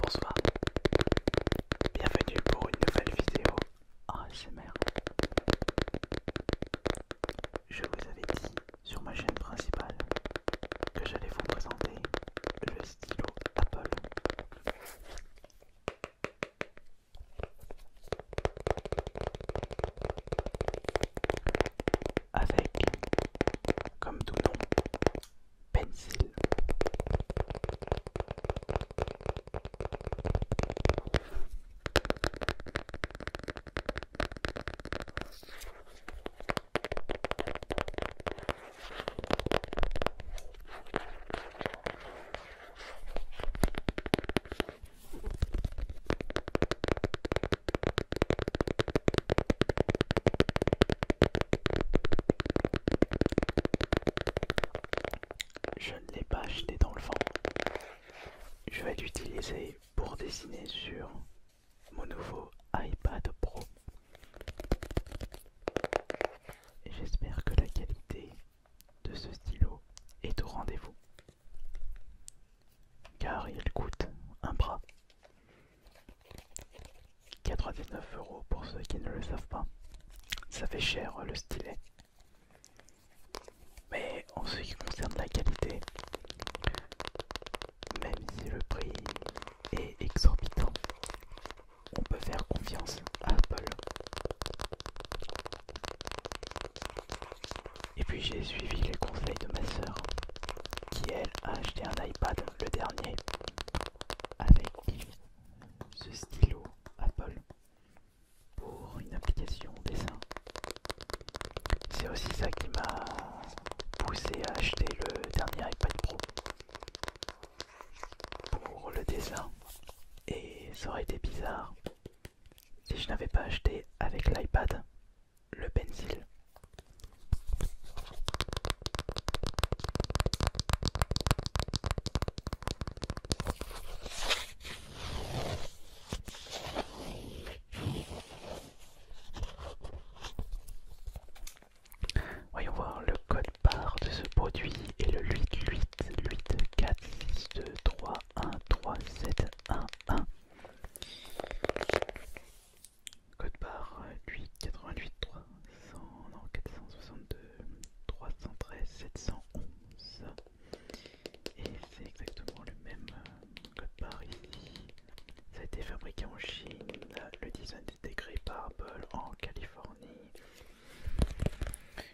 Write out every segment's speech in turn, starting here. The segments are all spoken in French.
Bonsoir, bienvenue pour une nouvelle vidéo ASMR. Je vous avais dit sur ma chaîne principale que j'allais vous présenter le stylo Apple avec comme tout nom pencil. Je ne l'ai pas acheté dans le vent. Je vais l'utiliser pour dessiner sur mon nouveau iPad Pro. J'espère que la qualité de ce stylo est au rendez-vous. Car il coûte un bras. 99 euros pour ceux qui ne le savent pas. Ça fait cher le stylet. Mais en ce qui concerne la qualité, même si le prix est exorbitant, on peut faire confiance à Apple. Et puis j'ai suivi les conseils de ma soeur qui elle a acheté un iPad le dernier avec ce stylo Apple pour une application dessin. C'est aussi ça qui m'a poussé à acheter le dernier iPad Pro pour le dessin et ça aurait été bizarre si je n'avais pas acheté avec l'iPad le pencil. Voyons voir le code barre de ce produit et le 8, lui 8, 8, 4, 6, 2, 3, 1, 3, 7, 1, 1. Code barre 8, 88, 300, non, 462, 313, 711. Et c'est exactement le même code barre ici. Ça a été fabriqué en Chine, le design est intégré par Apple en Californie,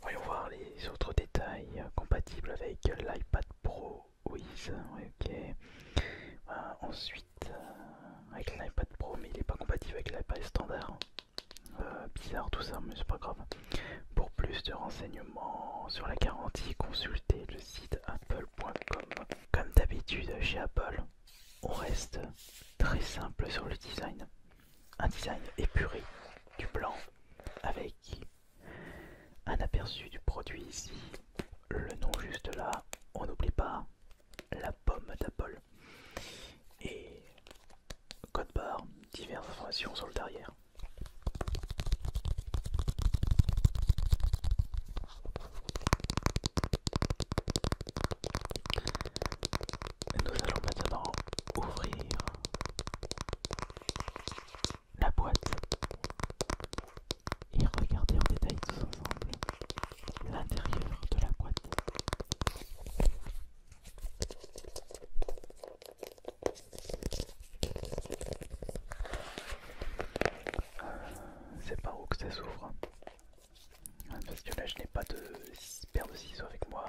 Voyons voir les autres détails compatibles avec l'iPad Pro Wiz. Ok. Euh, ensuite, euh, avec l'iPad Pro, mais il n'est pas compatible avec l'iPad standard. Euh, bizarre tout ça, mais c'est pas grave. Pour plus de renseignements sur la garantie, consultez le site apple.com. Comme d'habitude chez Apple, on reste très simple sur le design un design épuré du blanc avec un aperçu du produit ici, le nom juste là, on n'oublie pas la pomme d'Apple et code barre, diverses informations sur le derrière nous allons maintenant ouvrir la boîte et regarder en détail tous ensemble l'intérieur de la boîte. Euh, c'est par où que ça s'ouvre parce que là je n'ai pas de paire de ciseaux avec moi.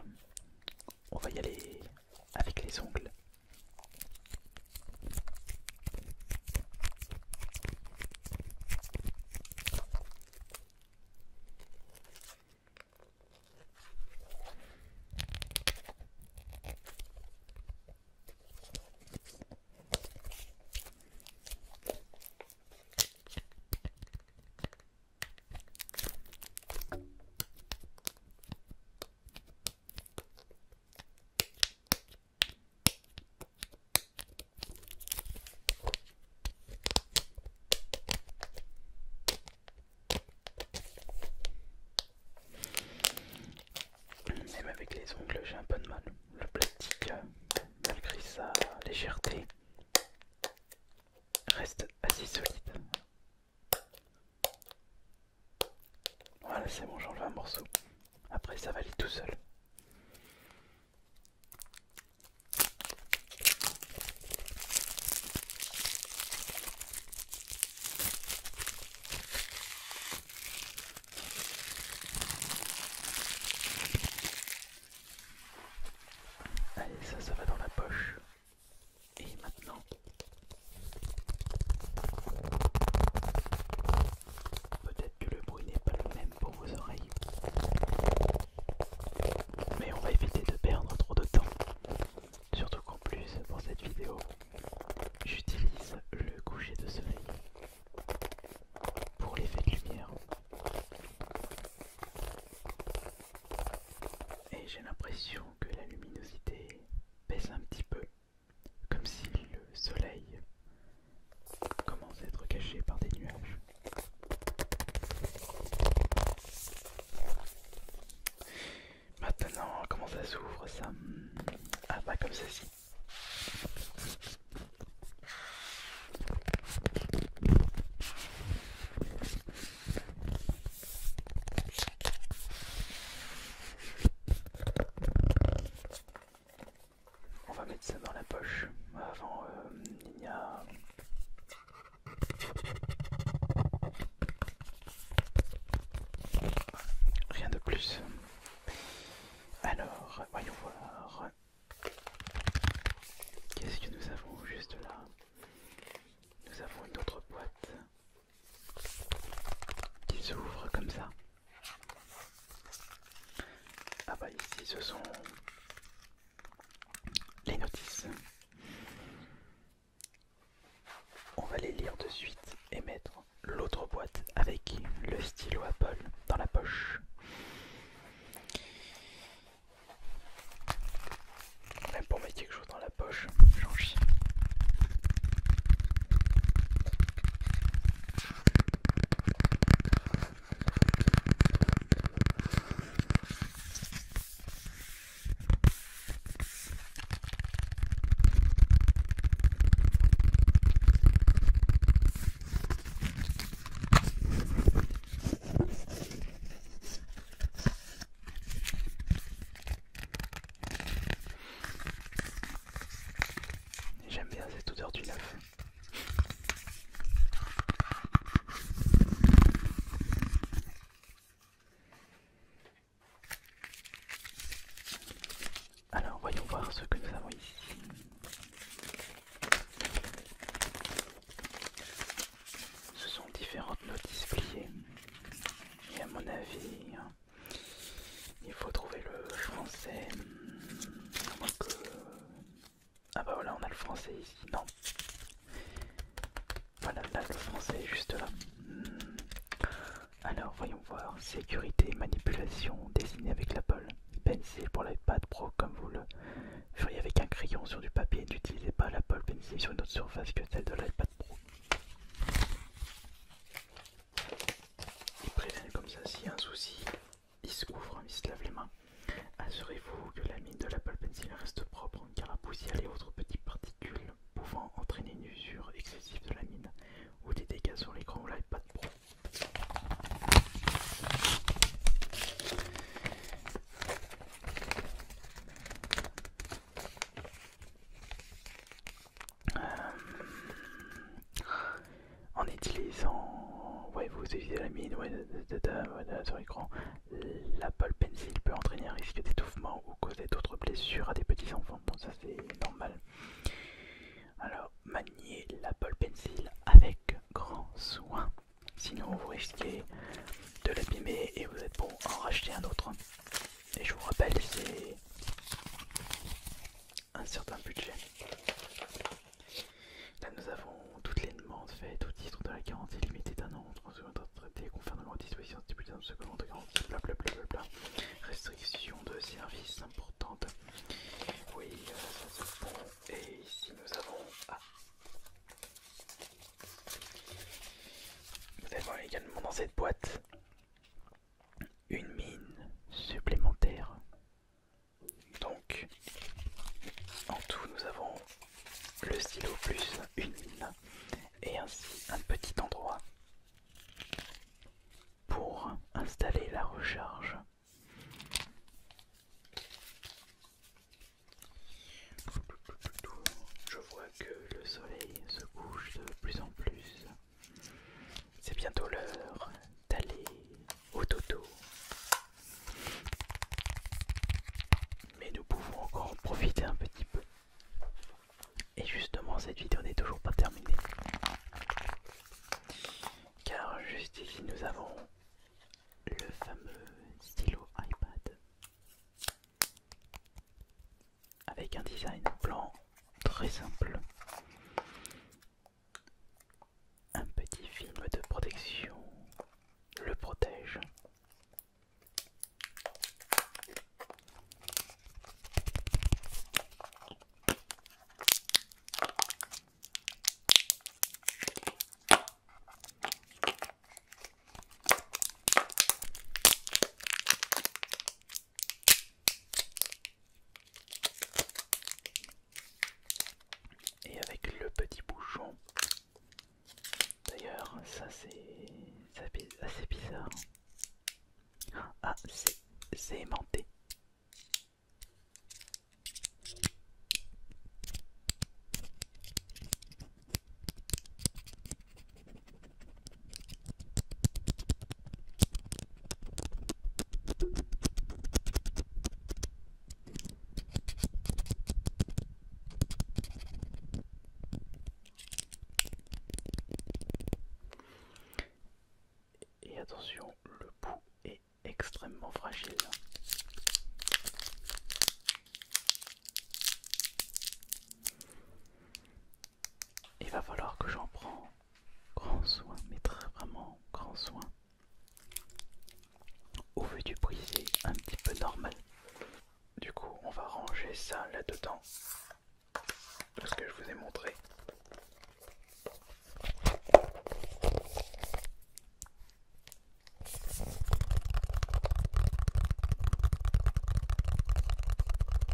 On va y aller avec les ongles. Même avec les ongles, j'ai un peu de mal. Le plastique, euh, malgré sa légèreté, reste assez solide. Voilà, c'est bon, j'enlève un morceau. Après, ça va aller tout seul. Allez, ça, ça va dans la poche. Et maintenant, peut-être que le bruit n'est pas le même pour vos oreilles, mais on va éviter de perdre trop de temps. Surtout qu'en plus, pour cette vidéo, j'utilise le coucher de soleil pour l'effet de lumière. Et j'ai l'impression que la luminosité baisse un petit peu, comme si le soleil commence à être caché par des nuages. Maintenant, comment ça s'ouvre ça Ah pas comme ceci. On va mettre ça dans la poche. Avant, euh, il n'y a... Rien de plus. Alors, voyons voir. Qu'est-ce que nous avons juste là Nous avons une autre boîte qui s'ouvre comme ça. Ah bah ici ce sont les notices. On va les lire de suite et mettre l'autre boîte avec le stylo Apple dans la poche. Même pour mettre quelque chose dans la poche, j'en chie. J'aime bien cette odeur du neuf. Alors voyons voir ce que nous avons ici. Ce sont différentes notices pliées. Et à mon avis, hein, il faut trouver le français. Ah bah voilà, on a le français ici. Non. Voilà, là le français juste là. Hmm. Alors voyons voir. Sécurité, manipulation, dessiner avec la Pencil pour l'iPad Pro comme vous le feriez avec un crayon sur du papier. N'utilisez pas la pencil sur une autre surface que celle de l'iPad Pro. Il prévient comme ça, s'il y a un souci, il se couvre, il se lave les mains. Assurez-vous que la mine de l'Apple Pencil reste propre car la poussière et autres petites particules pouvant entraîner une usure excessive de la mine ou des dégâts sur l'écran ou de Pro. Euh, en utilisant, ouais, vous utilisez la mine sur l'écran, l'Apple Pencil peut entraîner un risque d'étouffement ou causer d'autres blessures à des petits enfants. Bon, ça c'est normal. Alors, maniez l'Apple Pencil avec grand soin, sinon vous risquez de l'abîmer et vous êtes bon à en racheter un autre. Et je vous rappelle, c'est un certain budget. Là, nous avons toutes les demandes faites au titre de la garantie limitée d'un an, 30 secondes de traité, conformément aux dispositions stipulées dans le second de garantie, blablabla. Restriction de service importante. Oui, euh, ça c'est bon. Et ici, nous avons. Ah, nous avons également dans cette boîte une mine supplémentaire. Donc, en tout, nous avons le stylo plus une mine et ainsi un petit endroit pour installer la recharge. Je que le soleil se couche de plus en plus. C'est bientôt l'heure d'aller au toto. Mais nous pouvons encore en profiter un petit peu. Et justement, cette vidéo n'est toujours pas terminée. Car juste ici, nous avons le fameux stylo iPad avec un design blanc très simple. Un petit film de protection le protège. Et avec le petit bouchon. D'ailleurs, ça c'est assez bizarre. Ah, c'est aimanté. Et attention, le bout est extrêmement fragile. Il va falloir que j'en prends grand soin, mais très vraiment grand soin. Au vu du prix, un petit peu normal. Du coup, on va ranger ça là-dedans. parce ce que je vous ai montré.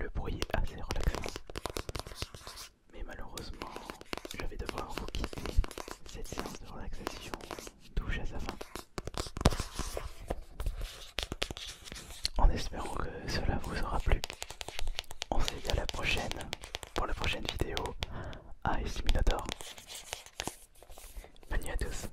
Le bruit est assez relaxant. Mais malheureusement, je vais devoir vous quitter. Cette séance de relaxation touche à sa fin. En espérant que cela vous aura plu. On se dit à la prochaine pour la prochaine vidéo à Simulator. Bonne nuit à tous.